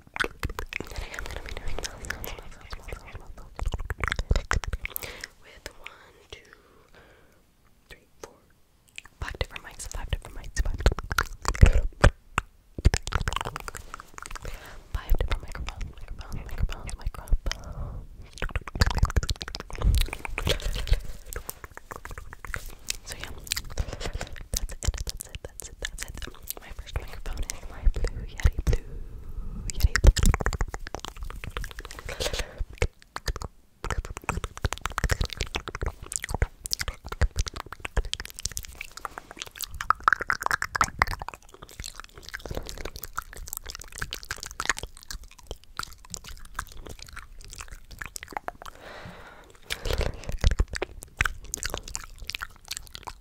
Today I'm gonna be doing mouth sounds, different mics, five different mics, five different microphones, microphones, microphones, microphones. So yeah, that's it, that's it, that's it, that's it. My first microphone is my Blue Yeti, Blue Yeti.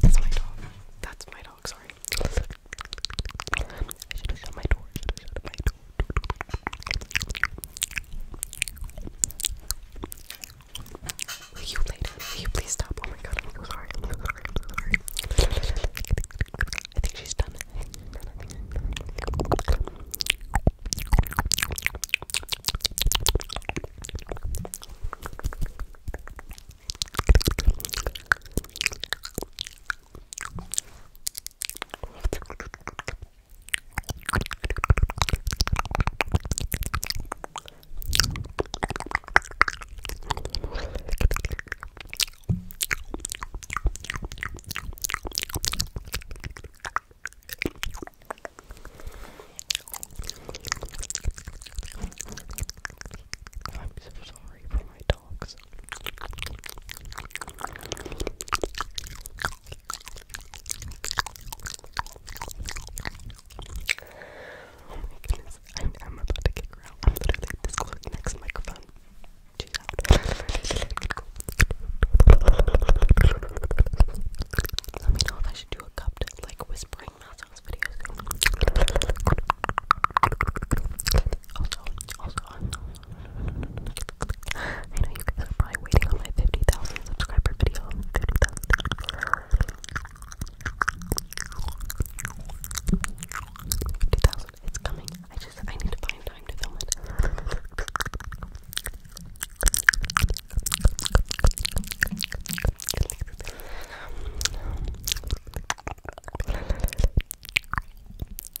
That's my dog. That's my dog, sorry. I should have shut my door. I should have shut my door. Will you later? Will you please stop? Oh my god, I'm so sorry. I'm so sorry. I'm so sorry. I think she's done. I'm so sorry for my dogs. Oh my goodness, I, am about to kick her I'm literally this next microphone. Let me know if I should do a cupped, like, whispering mouth sounds video Also, also, i I know you guys are probably waiting on my 50,000 subscriber video. 50,000. It's coming. I just, I need to find time to film it.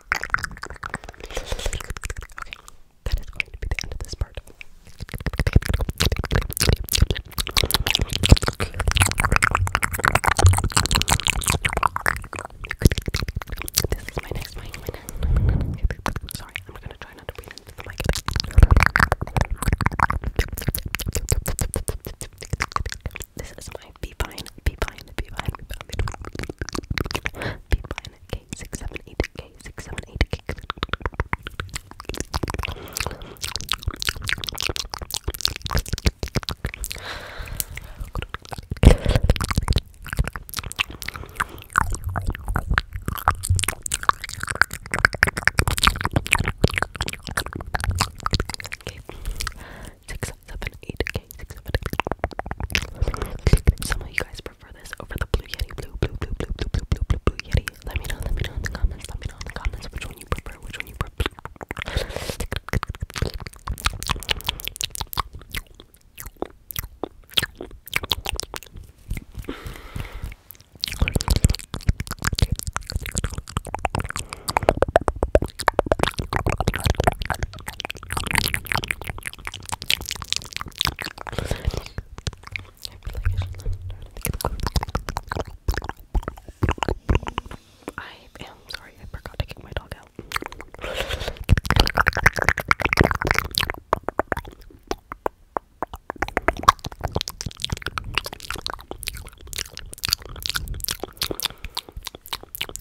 Okay, that is going to be the end of this part. This is my next mic. My next. Sorry, I'm gonna try not to breathe into the mic. This is ASMR. Be fine, be fine, be fine, be fine. Be six, seven, eight. Okay, six, seven, eight. Okay six, seven, eight, okay, Some of you guys prefer this over the blue yeti, blue, blue, blue, blue, blue, blue, blue, blue, blue yeti. Let me know, let me know in the comments, let me know in the comments which one you prefer, which one you prefer. I am sorry, I forgot to kick my dog out.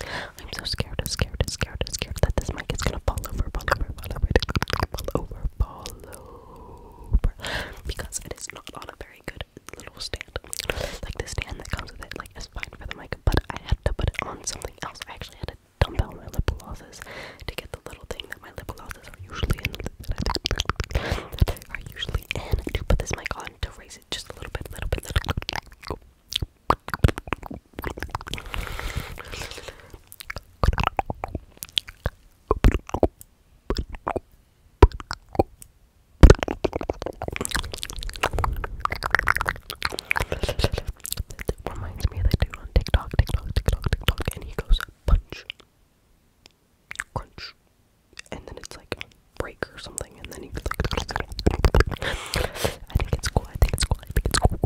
I'm so scared, scared, scared, scared that this mic is gonna fall over, fall over, fall over, fall over, fall over. Because it is not on a very good little stand. Like the stand that comes with it, like is fine for the mic, but I had to put it on something else. I actually had to dump out my lip glosses to get the little thing that my lip glosses are usually in that I are usually in to put this mic on to raise it just a little bit, little bit, little bit. That reminds me of that dude on TikTok, TikTok, TikTok, TikTok, and he goes punch, crunch, and then it's like break or something I think it's cool, I think it's cool, I think it's cool.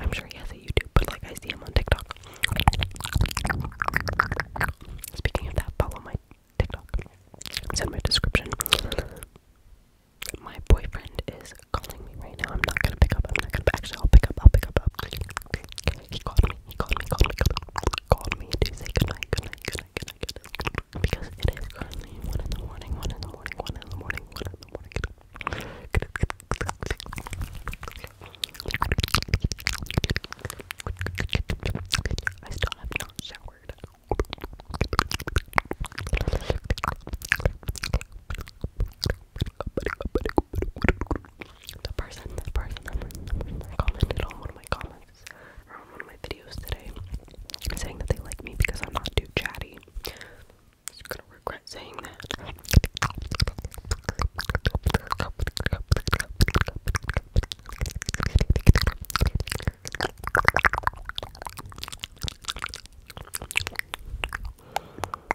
I'm sure he has a YouTube, but like I see him on TikTok. Speaking of that, follow my TikTok. It's in my description. My boyfriend is calling me right now. I'm not gonna pick up. I'm not gonna. Actually, I'll pick up. I'll pick up. I'll... He called me. He called me. Called me. Called me to say goodnight. Goodnight. Goodnight. Goodnight. Goodnight. Because it is currently one in the morning. One in the morning. One in the morning. One in the morning. I still have not showered. The person, the person, the person, commented on one of my comments or one of my videos today saying that they like me because I'm not too chatty. Just gonna regret saying that.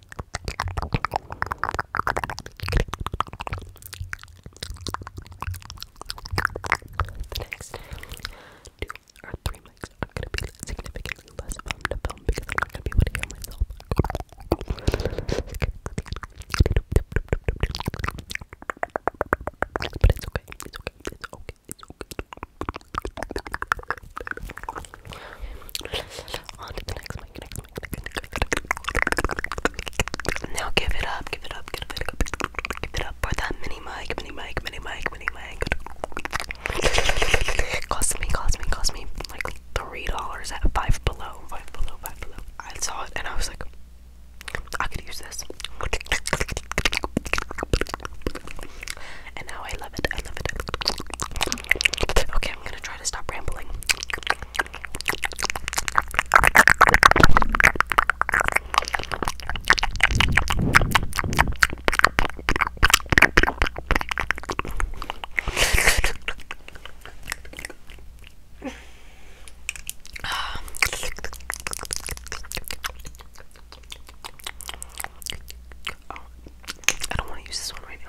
The next two or three mics are gonna be significantly less fun to film because I'm not gonna be able to hear myself. But it's okay, it's okay, it's okay, it's okay. Now give it up, give it up, give it up, for that mini mic, mini mic, mini mic, mini mic. cost me, cost me, cost me like three dollars at five below, five below, five below. I saw it and I was like, I could use this. And now I love it. I love it. Okay, I'm gonna try to stop rambling. Oh, I don't want to use this one right now.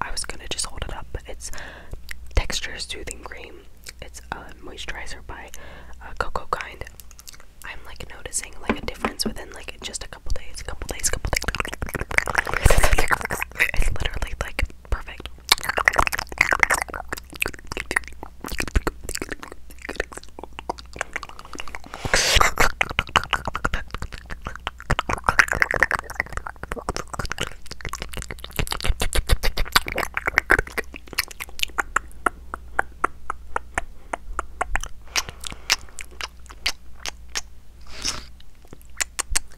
I was gonna just hold it up, it's Texture Soothing Cream. It's a moisturizer by uh, Coco Kind. I'm like noticing like a difference within like just a couple days, a couple days, a couple days. It's literally like perfect.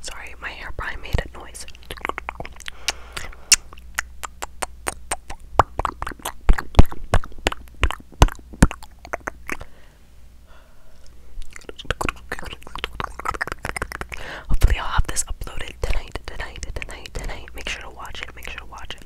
Sorry, my hair probably made a noise. Hopefully, I'll have this uploaded tonight, tonight, tonight, tonight. Make sure to watch it, make sure to watch it.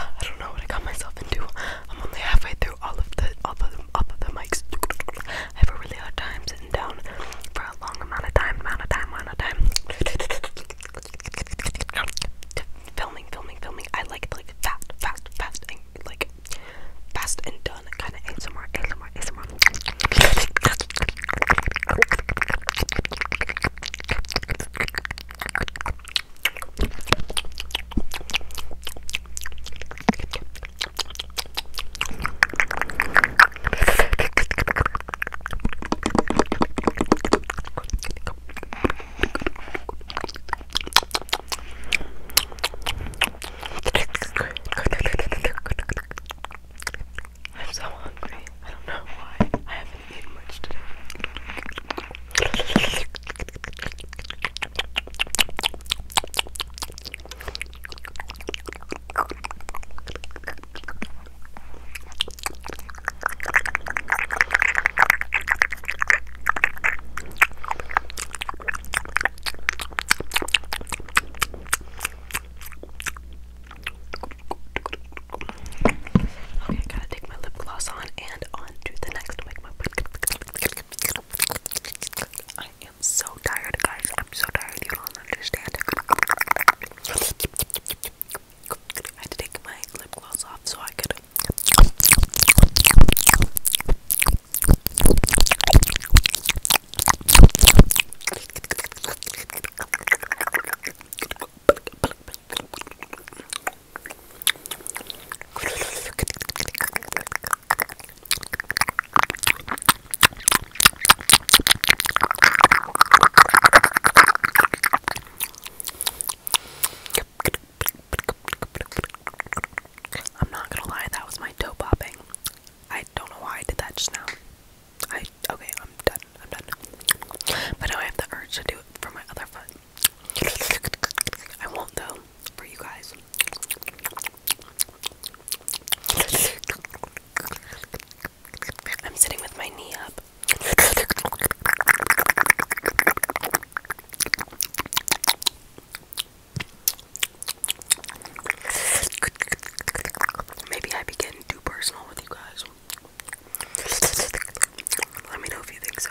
I don't know what I got myself into. I'm only halfway through all of the all of the, all of the mics. I have a really hard time down for a long amount of time, amount of time, amount of time. filming, filming, filming. I like like fast, fast, fast, and like fast and done kind of ASMR, ASMR, ASMR. I'm so hungry. I don't know why. I haven't eaten much today. Okay, I gotta take my lip gloss on and on to the next wig. I i am so tired, guys. I'm so tired. You don't understand. I had to take my lip gloss off so I could. I'm not gonna lie, that was my toe popping. I don't know why I did that just now. I okay, I'm done. I'm done. But now I have the urge to do it for my other foot. I won't though for you guys. I'm sitting with my knee up. Maybe I begin too personal with you guys. Let me know if you think so.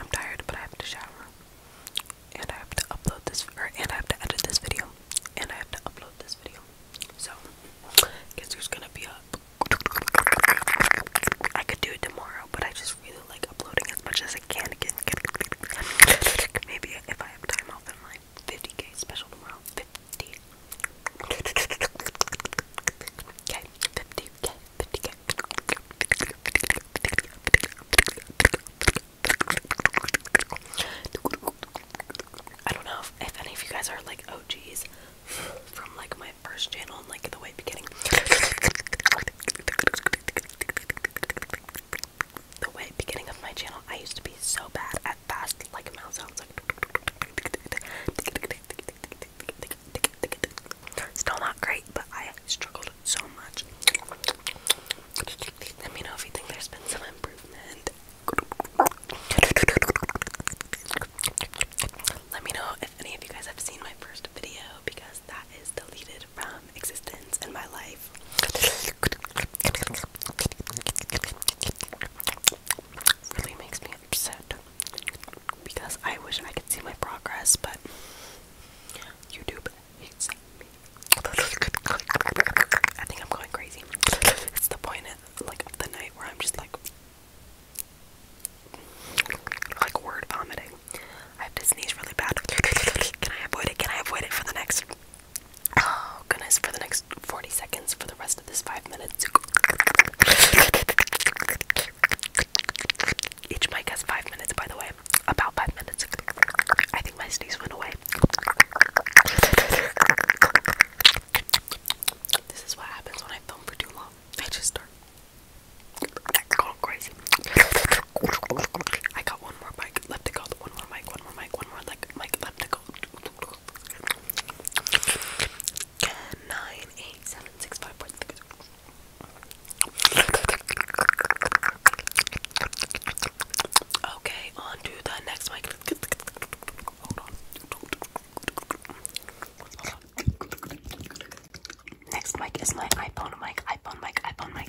I'm tired, but I have to shower. And I have to upload this, and I have to edit this video. And I have to upload this video. So, guess there's gonna be a. I could do it tomorrow, but I just really like uploading as much as I can again. Maybe if I have time, I'll my 50k special tomorrow. I don't know if, any of you guys are like OGs from like my first channel and like the way beginning. The way beginning of my channel, I used to be so bad at that Still not great, but I struggled so much. Let me know if you think there's been some improvement. Let me know if any of you guys have seen my first video because that is deleted from existence in my life really makes me upset because I wish I could see my progress, but YouTube hates me. I think I'm going crazy. It's the point of, like the night where I'm just like like word vomiting. I have to sneeze really bad. Can I avoid it? Can I avoid it for the next Oh goodness, for the next 40 seconds, for the rest of this five minutes. Each mic has five minutes, by the way. About five minutes. I think my sneeze went away. This is what happens when I film for too long. I just start going crazy. I got one more mic left to go. One more mic, one more mic, one more like mic left to go nine eight seven six five four three. Okay, on the next mic. Next mic is my iPhone mic, iPhone mic, iPhone mic.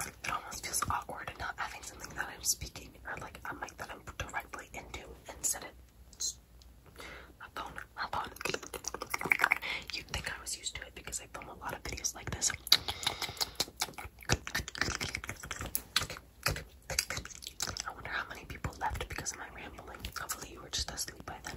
it almost feels awkward not having something that I'm speaking or like a mic that I'm directly into instead of my phone, my phone. You'd think I was used to it because I film a lot of videos like this. I wonder how many people left because of my rambling. Hopefully you were just asleep by then.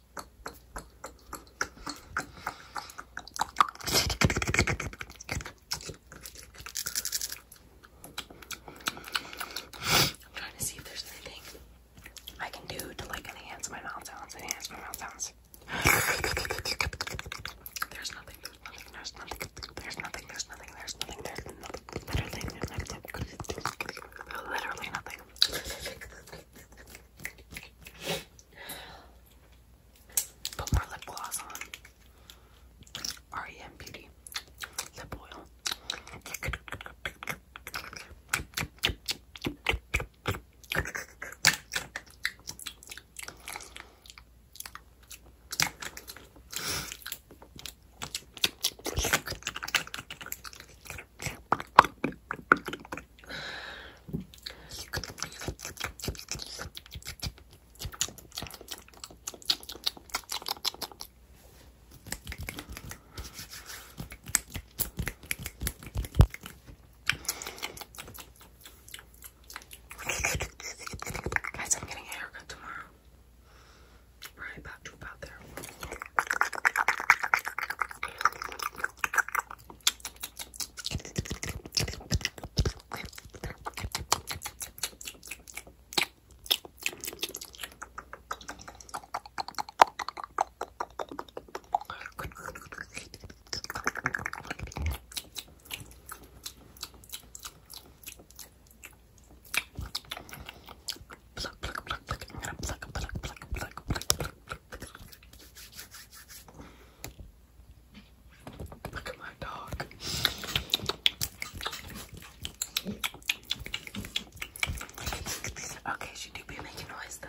I'm trying to see if there's anything I can do to like enhance my mouth sounds, enhance my mouth sounds. There's nothing, there's nothing, there's nothing, there's nothing, there's nothing, there's nothing, there's nothing, there's nothing, Literally nothing. Literally nothing. Put more lip gloss on. REM Beauty lip oil. Guys, I'm getting a haircut tomorrow right about to about there. Pluck, pluck, pluck, pluck. I'm gonna pluck, pluck, pluck, pluck, pluck, pluck, pluck. Look at my dog. Okay, she do be making noise though.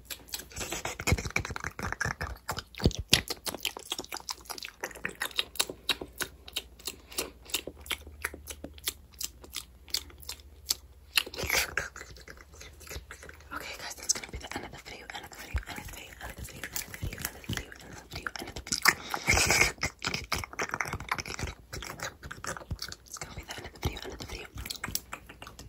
Okay, guys, that's gonna be the end of the video. End of the video. End of the video. End of the video. End of the video. End of the video. End of the video. End of the video. It's gonna be the end of the video. End of the video.